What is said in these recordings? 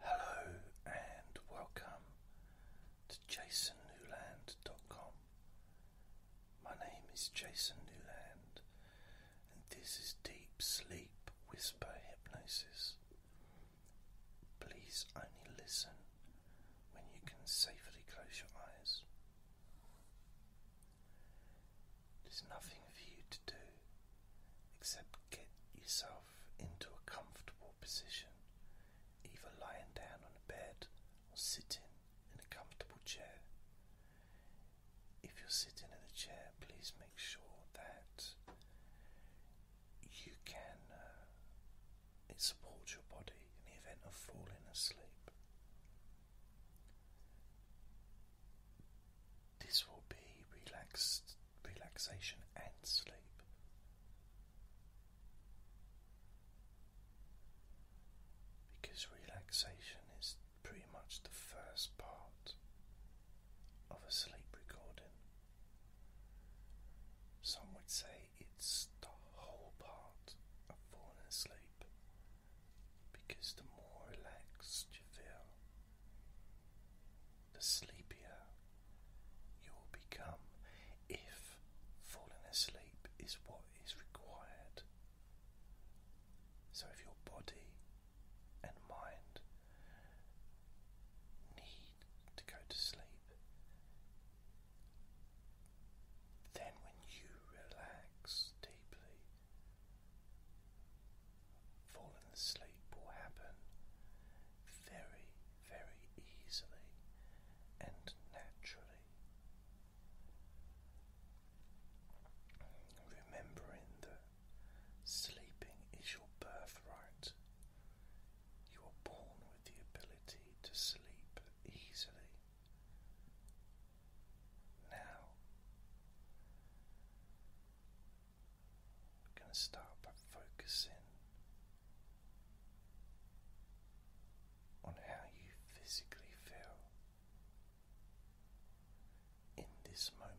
Hello and welcome to jasonnewland.com. My name is Jason Newland and this is Deep Sleep Whisper Hypnosis. Please only listen when you can safely close your eyes. There's nothing for you to do except get yourself yourself into a comfortable position, either lying down on a bed or sitting in a comfortable chair. If you're sitting in the chair, please make sure that you can, uh, support your body in the event of falling asleep. This will be relaxed, relaxation and sleep. Because relaxation is pretty much the first part of a sleep recording. Some would say it's the whole part of falling asleep because the more relaxed you feel, the sleepier you will become if falling asleep is what is required. So, if your body and mind need to go to sleep, then when you relax deeply, falling asleep will happen very, very easily and naturally. Remembering that sleeping is your birthright, you are born with the ability to sleep easily. Now, I'm going to start by focusing on how you physically feel in this moment.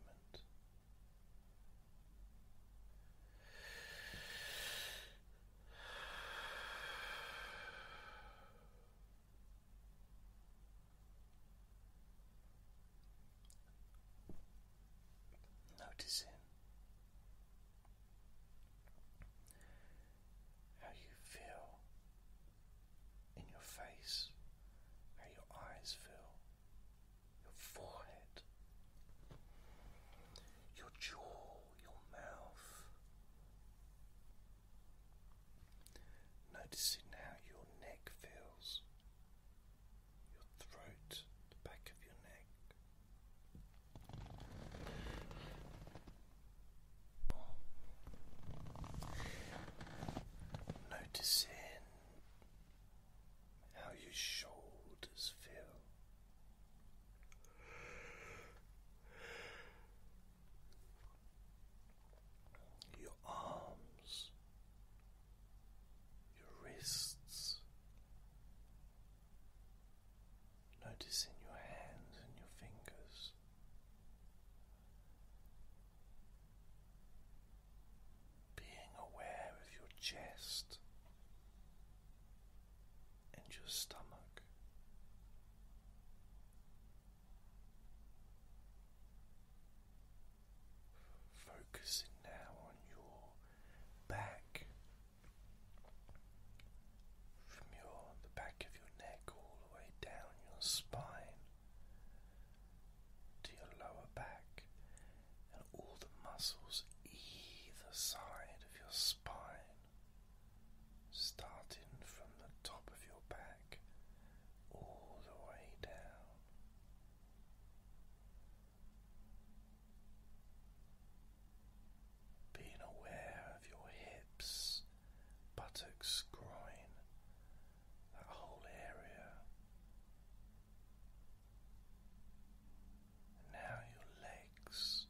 Noticing how you feel in your face, how your eyes feel, your forehead, your jaw, your mouth. Noticing how your neck feels, your throat, the back of your neck. Noticing how your shoulders feel. Your arms, your wrists, noticing your hands and your fingers. Being aware of your chest and your stomach, Focusing now on your back, from your the back of your neck all the way down your spine to your lower back, and all the muscles either side of your spine, starting from the top of your back all the way down. Being aware of your hips, buttocks, groin, that whole area. now your legs,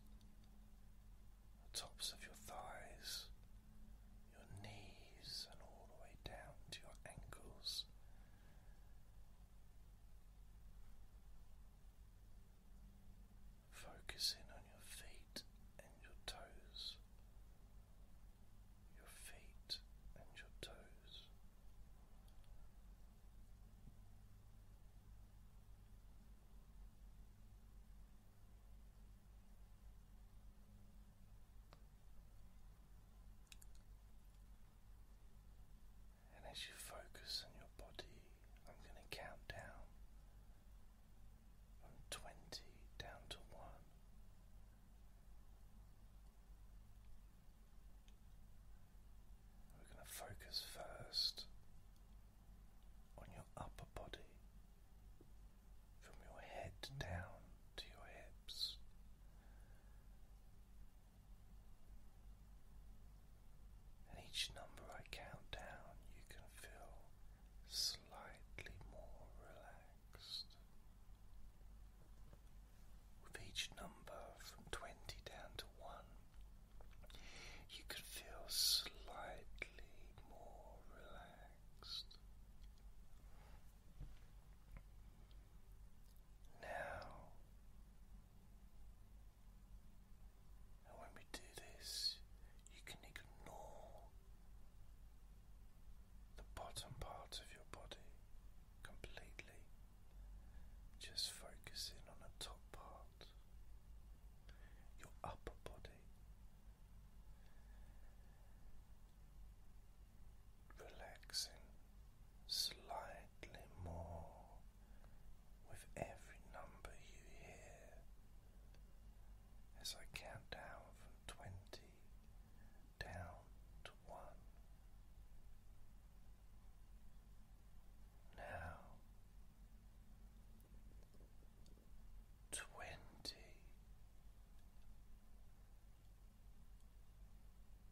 the tops of your thighs, your knees, and all the way down to your ankles. Focus in on your feet and your toes, your feet and your toes. And as you focus on your body, I'm going to count down from 20 down to 1. We're going to focus first on your upper body, from your head down to your hips. And each number I count down, you can feel slightly more relaxed. With each number from 20 down to 1, you can feel slightly more relaxed. Now and when we do this, you can ignore the bottom part of your body completely, just focusing on the top part, your upper body. Relaxing slightly more with every number you hear as I count down from twenty down to one. Now twenty.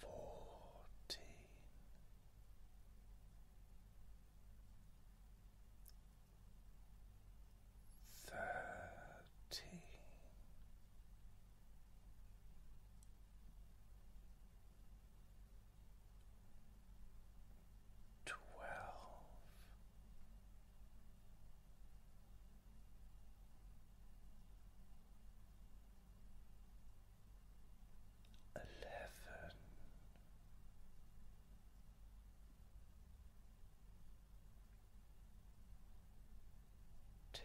fourteen thirteen twelve eleven. Ten,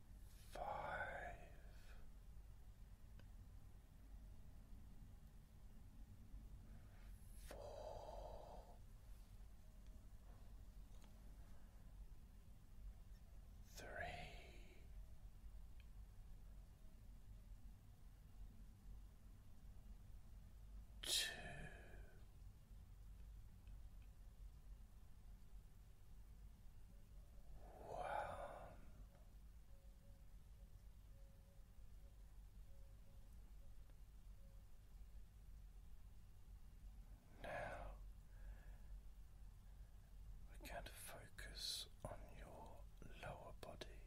five, four, three. Two, Wow. Now we're going to focus on your lower body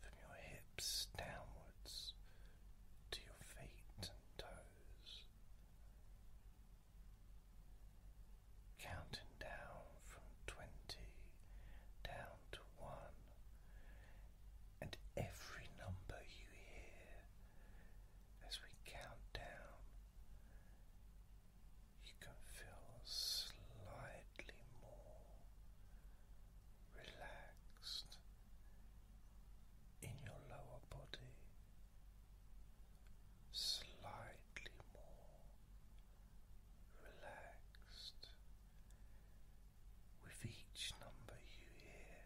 from your hips downwards to your feet and toes counting down from 20 down to 1, and every number you hear as we count down, you can feel slightly more relaxed in your lower body slightly more relaxed. With each number you hear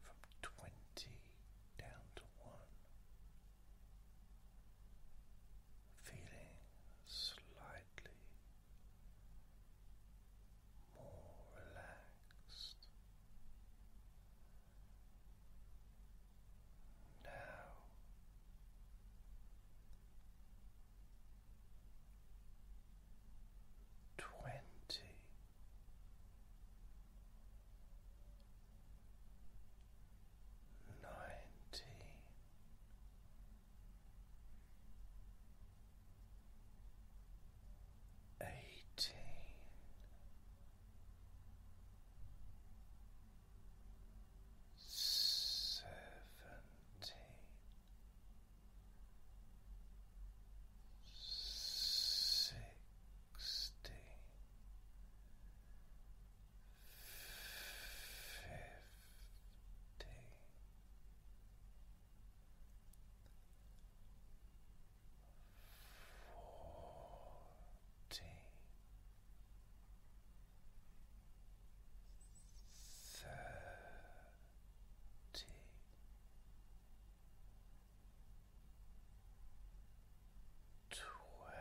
from 20 down to 1, feeling slightly more relaxed. Now twenty. Nineteen, eighteen, seventeen, sixteen, fifteen fourteen, thirty. Twelve,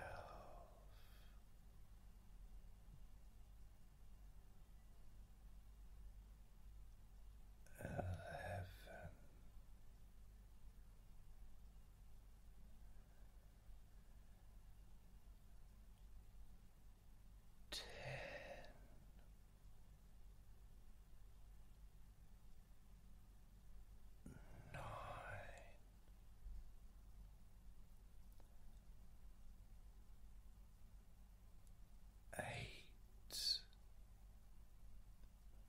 eleven, Ten. Eight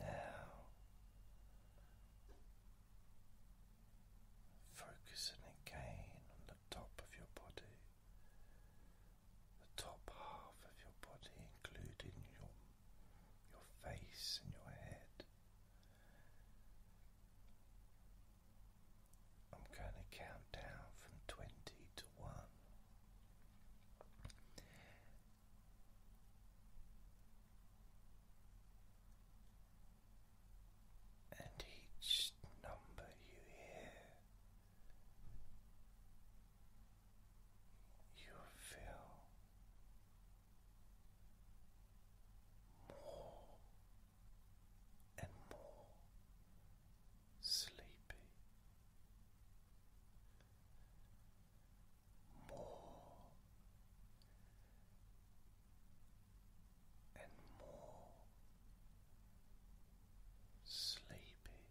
Now, focusing again on the top of your body, the top half of your body, including your, your face and your head. I'm going to count down from 20 to 1. And each number you hear, you feel more and more sleepy, more and more sleepy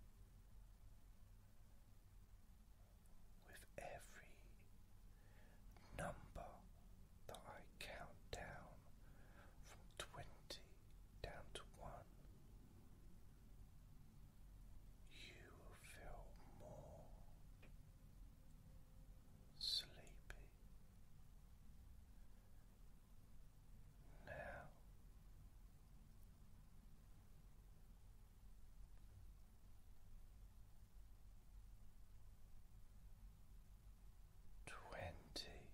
with every number that I count down from 20 down to 1, you will feel more sleepy. Now, twenty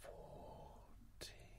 fourteen thirteen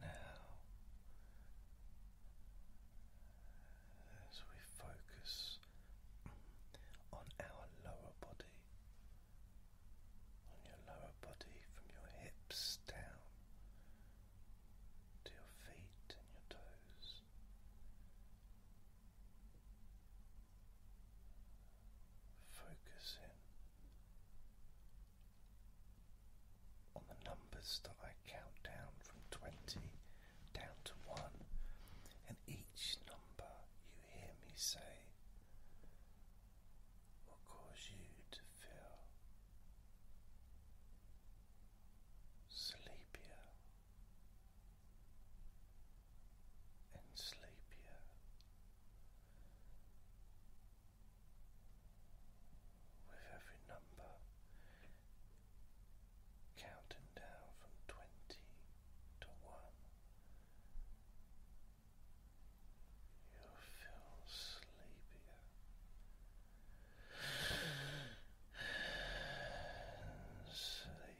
Now, as we focus on our lower body, on your lower body from your hips down to your feet and your toes. Focus in on the numbers that I count down from 20 down to 1, and each number you hear me say will cause you to feel sleepier and sleepier. With every number counting down from twenty to one, you feel sleepier. Sleepier.